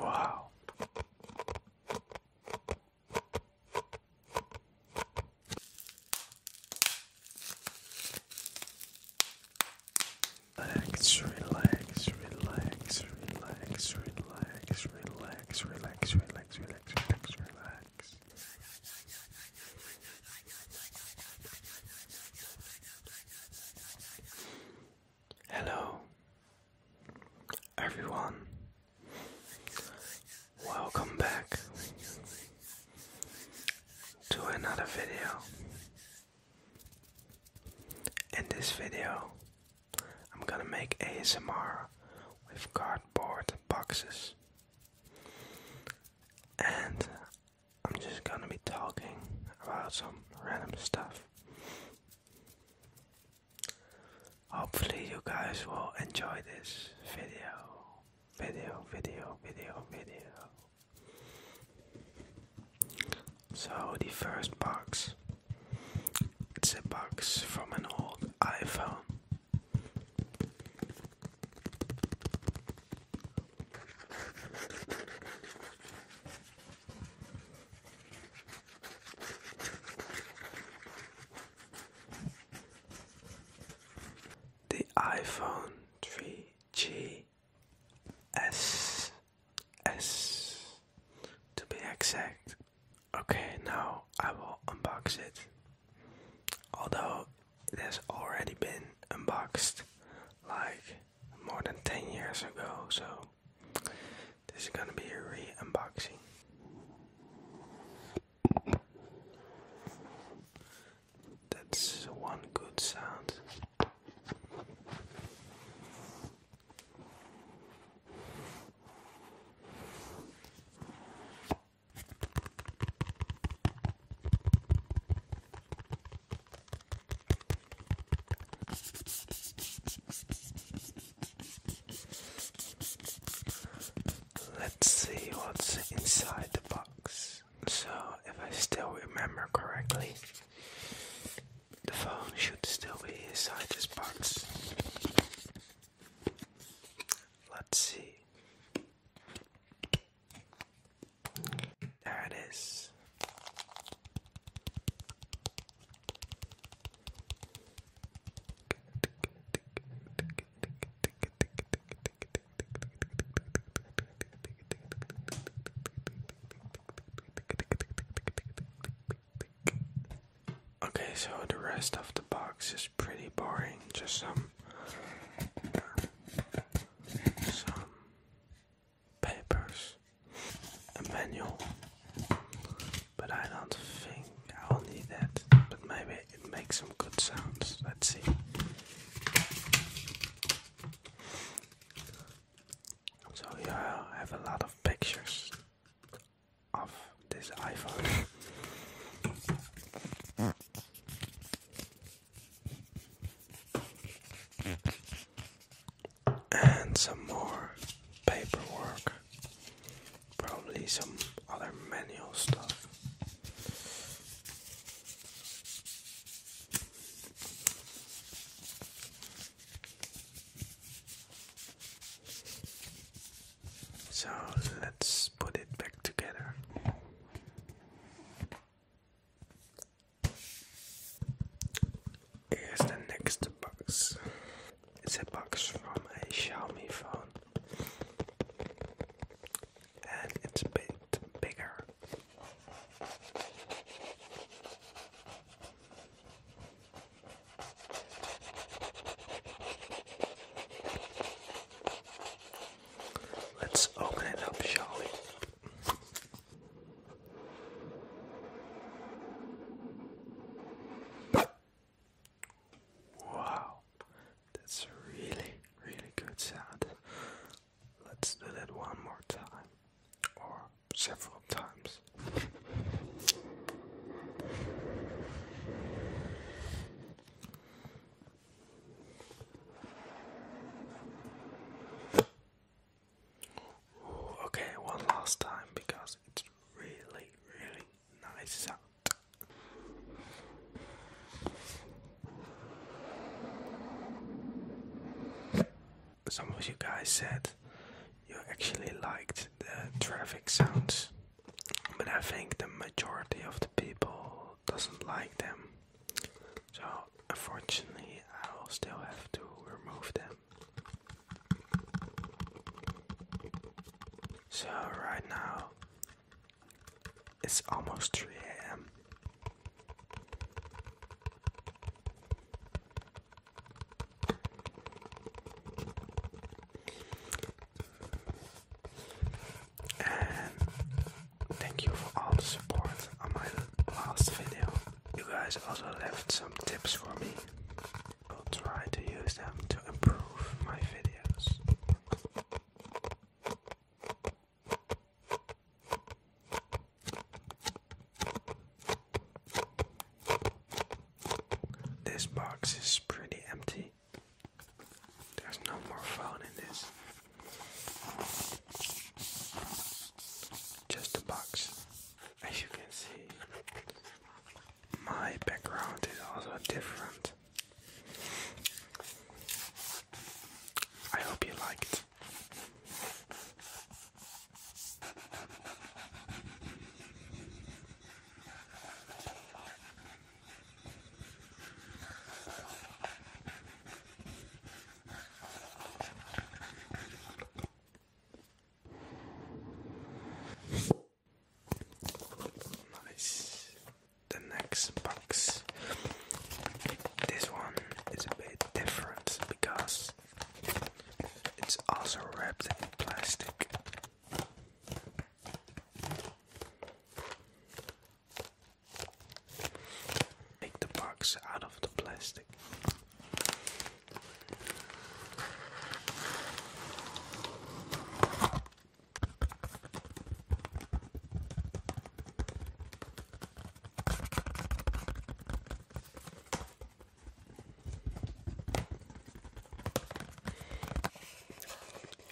Wow. Relax, relax, relax, relax, relax, relax, relax, relax, relax, relax, relax. Hello, everyone. Welcome back to another video. In this video, I'm gonna make ASMR with cardboard boxes. And I'm just gonna be talking about some random stuff. Hopefully, you guys will enjoy this video. Video, video, video, video. So, the first box it's a box from an old iPhone. The iPhone 3G S S to be exact. Okay, now I will unbox it. Although it has already been unboxed like more than 10 years ago, so this is gonna be a re unboxing. That's one good sound. Let's see what's inside the box. So, if I still remember correctly, the phone should still be inside this box. Let's see. There it is. Okay, so the rest of the box pretty boring. Just some some papers, a manual. But I don't think I'll need that. But maybe it makes some good sounds. Let's see. So yeah, I have a lot of pictures of this iPhone. And some more paperwork, probably some other manual stuff. So let's put it back together. Here's the next box. It's a box from a Xiaomi phone, and it's a bit bigger. Let's open it up, shall we? Wow, that's really, really good sound. Let's do that one more time, or several times. Okay, one last time because it's really, really nice Some of you guys said you actually liked the traffic sounds, but I think the majority of the people doesn't like them. So, unfortunately, I'll still have to remove them. So, right now, it's almost 3 a.m and thank you for all the support on my last video. You guys also left some tips for me. I'll try to use them to improve my videos. This box is pretty empty. There's no more phone in this. Just a box. As you can see, my background is also different. I hope you liked. Nice. The next box. This one is a bit different because it's also wrapped in plastic. Take the box out of the plastic.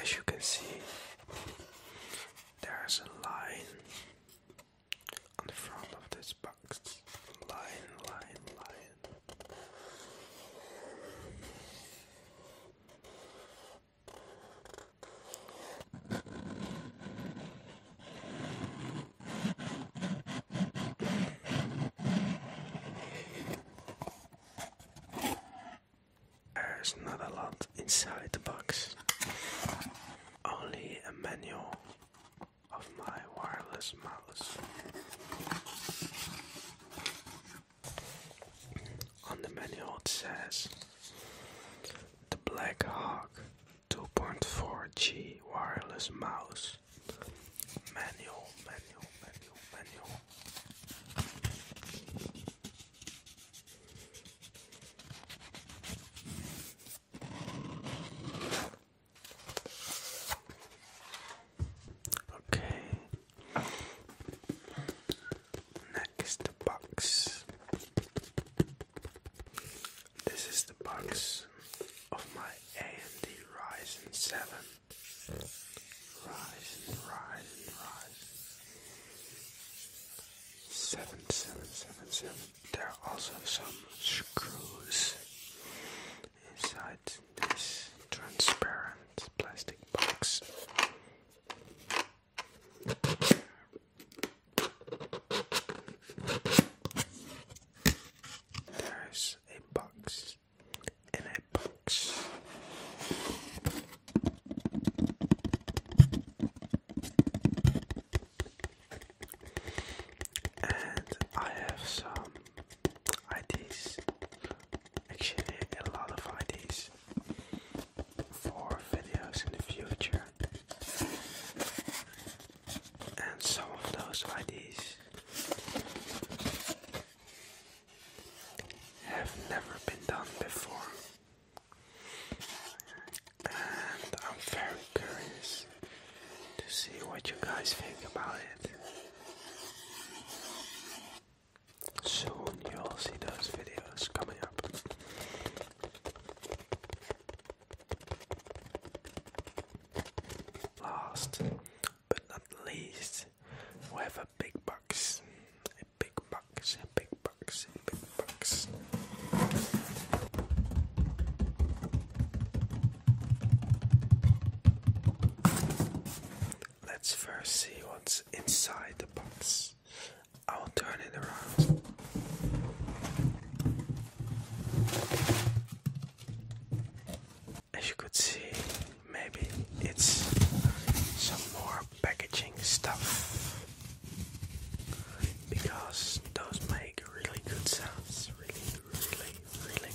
As you can see, there's a line on the front of this box. Line, line, line. There's not a lot inside the box. Only a manual of my wireless mouse. On the manual it says the Black Hawk 2.4G wireless mouse. Manual, manual, manual, manual. Okay. Next box. This is the box of my AMD Ryzen 7. Ryzen, Ryzen, Ryzen seven seven seven seven. There are also some screws inside this transparent plastic box. There's a box in a box. And I have some ideas, actually, a lot of ideas for videos in the future. And some of those ideas have never been done before and I'm very curious to see what you guys think about it. Soon you'll see those videos coming up. Last but not least, we have a big box, big bucks big bucks big bucks. Let's first see what's inside the box. I'll turn it around. As you could see, maybe it's some more packaging stuff because those make really good sounds. Really, really, really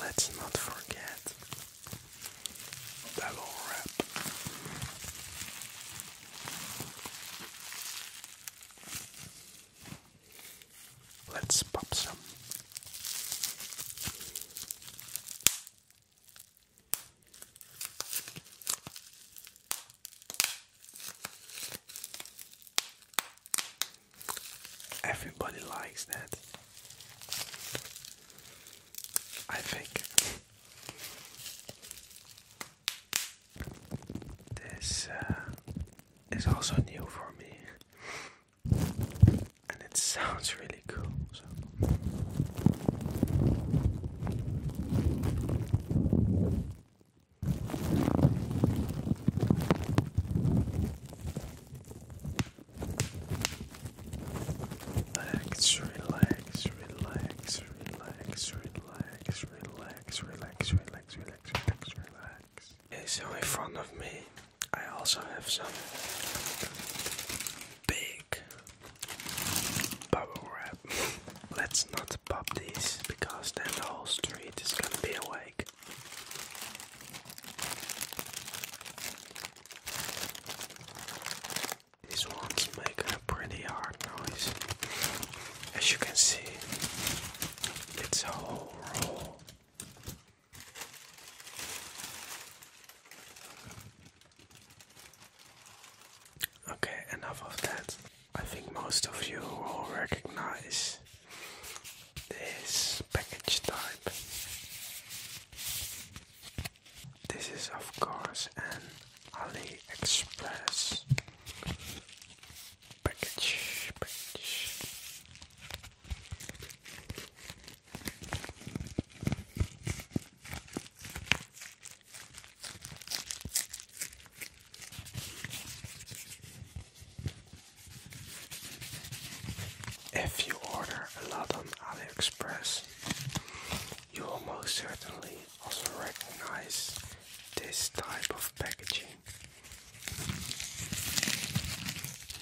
Let's not forget double wrap. Let's pop some. Everybody likes that. I think this uh, is also new for me, and it sounds really cool. Relax, relax, relax, relax, relax, relax, relax, relax, relax, relax, relax. Okay, so in front of me, I also have some big bubble wrap. Let's not pop these because then the whole street is gonna be awake. This ones make a pretty hard noise. As you can see, it's a whole roll. Okay, enough of that. I think most of you will recognize this package type. This is, of course, an AliExpress package. package. If you order a lot on AliExpress, you will most certainly also recognize this type of packaging.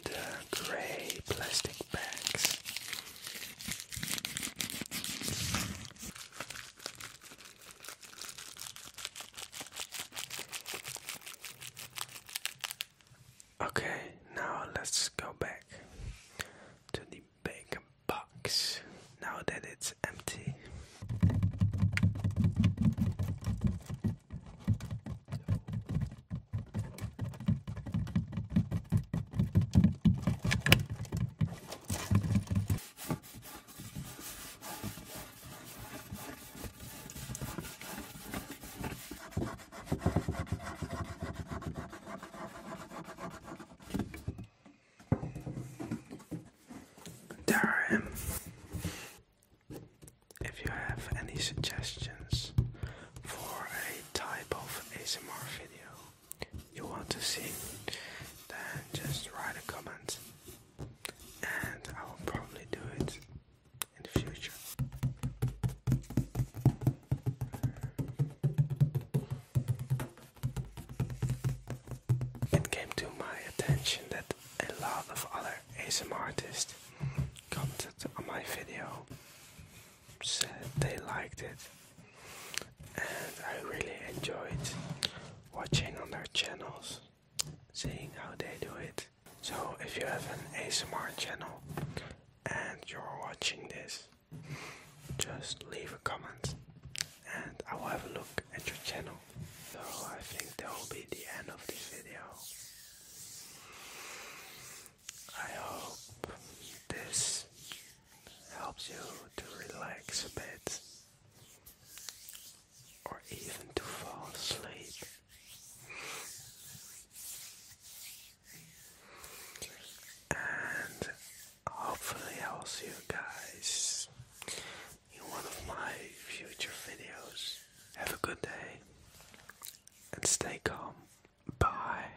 The grey plastic bags. Okay, now let's go back to the big box now that it's empty. Darren, if you have any suggestions for a type of ASMR video you want to see, then just write a comment and I will probably do it in the future. It came to my attention that a lot of other ASMR artists commented on my video, said they liked it, and I really enjoyed watching on their channels, seeing how they do it. So if you have an ASMR channel and you're watching this, just leave a comment and I will have a look at your channel. So I think that will be the end of this video. I hope this helps you to relax a bit or even to fall asleep and hopefully I'll see you guys in one of my future videos. Have a good day and stay calm. Bye.